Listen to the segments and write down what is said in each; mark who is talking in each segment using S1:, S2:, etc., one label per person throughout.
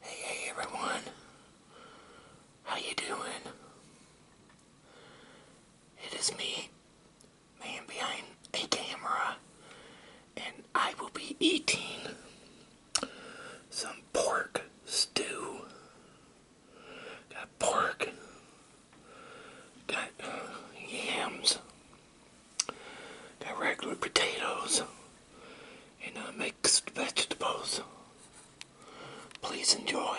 S1: Hey, everyone. How you doing? It is me, man behind a camera, and I will be eating some pork stew. Got pork. Got yams regular potatoes and uh, mixed vegetables. Please enjoy.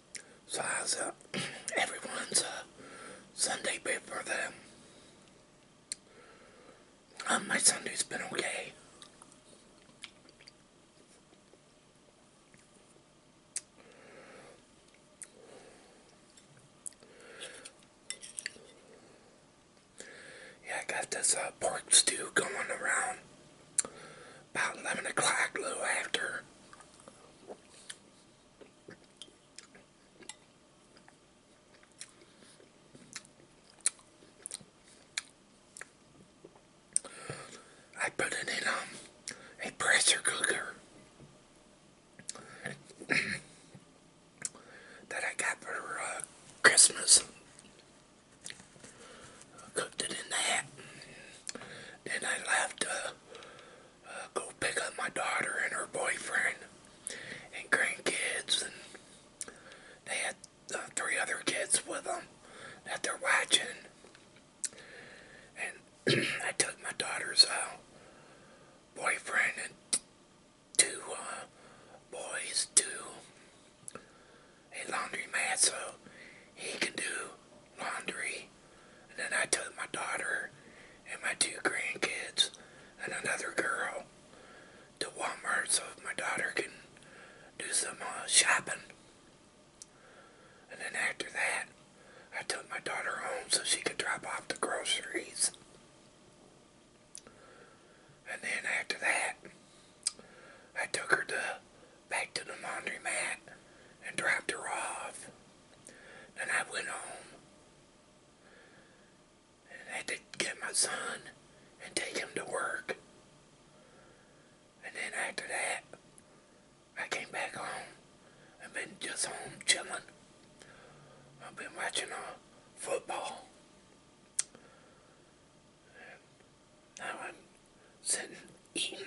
S1: So I was uh, everyone's uh, Sunday before them. Um, my Sunday's been okay. Yeah, I got this uh, pork stew going around about 11 o'clock, little after. I put it in um, a pressure cooker that I got for uh, Christmas. cooked it in that. Then I left uh, uh, go pick up my daughter and her boyfriend and grandkids, and they had uh, three other kids with them that they're watching. And I took my daughter's uh, boyfriend and two uh, boys to a laundromat so he can do laundry and then I took my daughter and my two grandkids and another girl to Walmart so my daughter can do some uh, shopping. And then after that, I took my daughter home so she could drop off the groceries. And then after that, I took her to back to the laundromat and dropped her off. Then I went home and had to get my son and take him to work. And then after that, I came back home. I've been just home chilling. I've been watching uh, football. And now I'm sitting eating.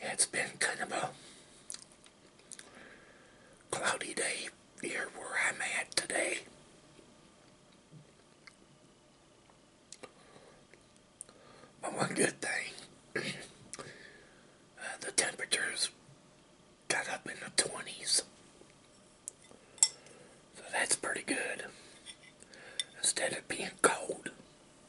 S1: It's been kind of a cloudy day here where I'm at today. But one good thing, uh, the temperatures got up in the 20s. So that's pretty good. Instead of being cold.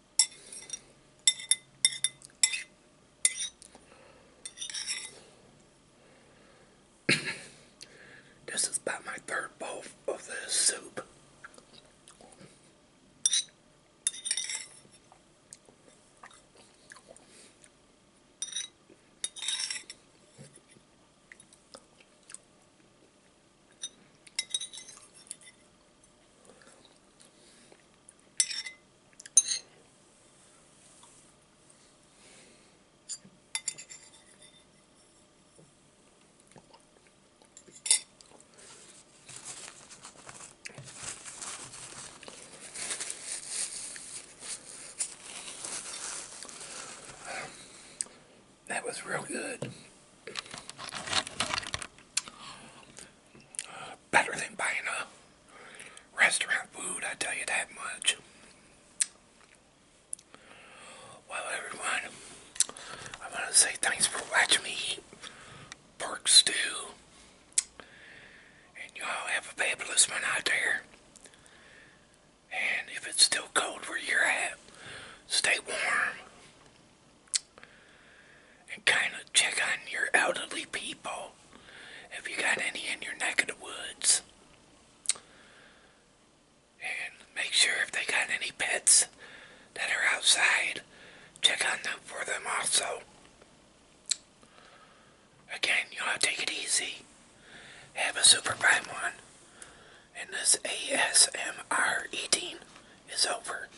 S1: this is about my third bowl of this soup. That was real good better than buying a restaurant food, I tell you that much. Well, everyone, I want to say thanks for watching me pork stew. And y'all have a fabulous one there. And if it's still cold where you're at, stay warm and kind of check on your elderly people if you got any in your neck of the woods. And make sure if they got any pets that are outside, check on them for them also. Again, you all take it easy. Have a super prime one. And this ASMR eating is over.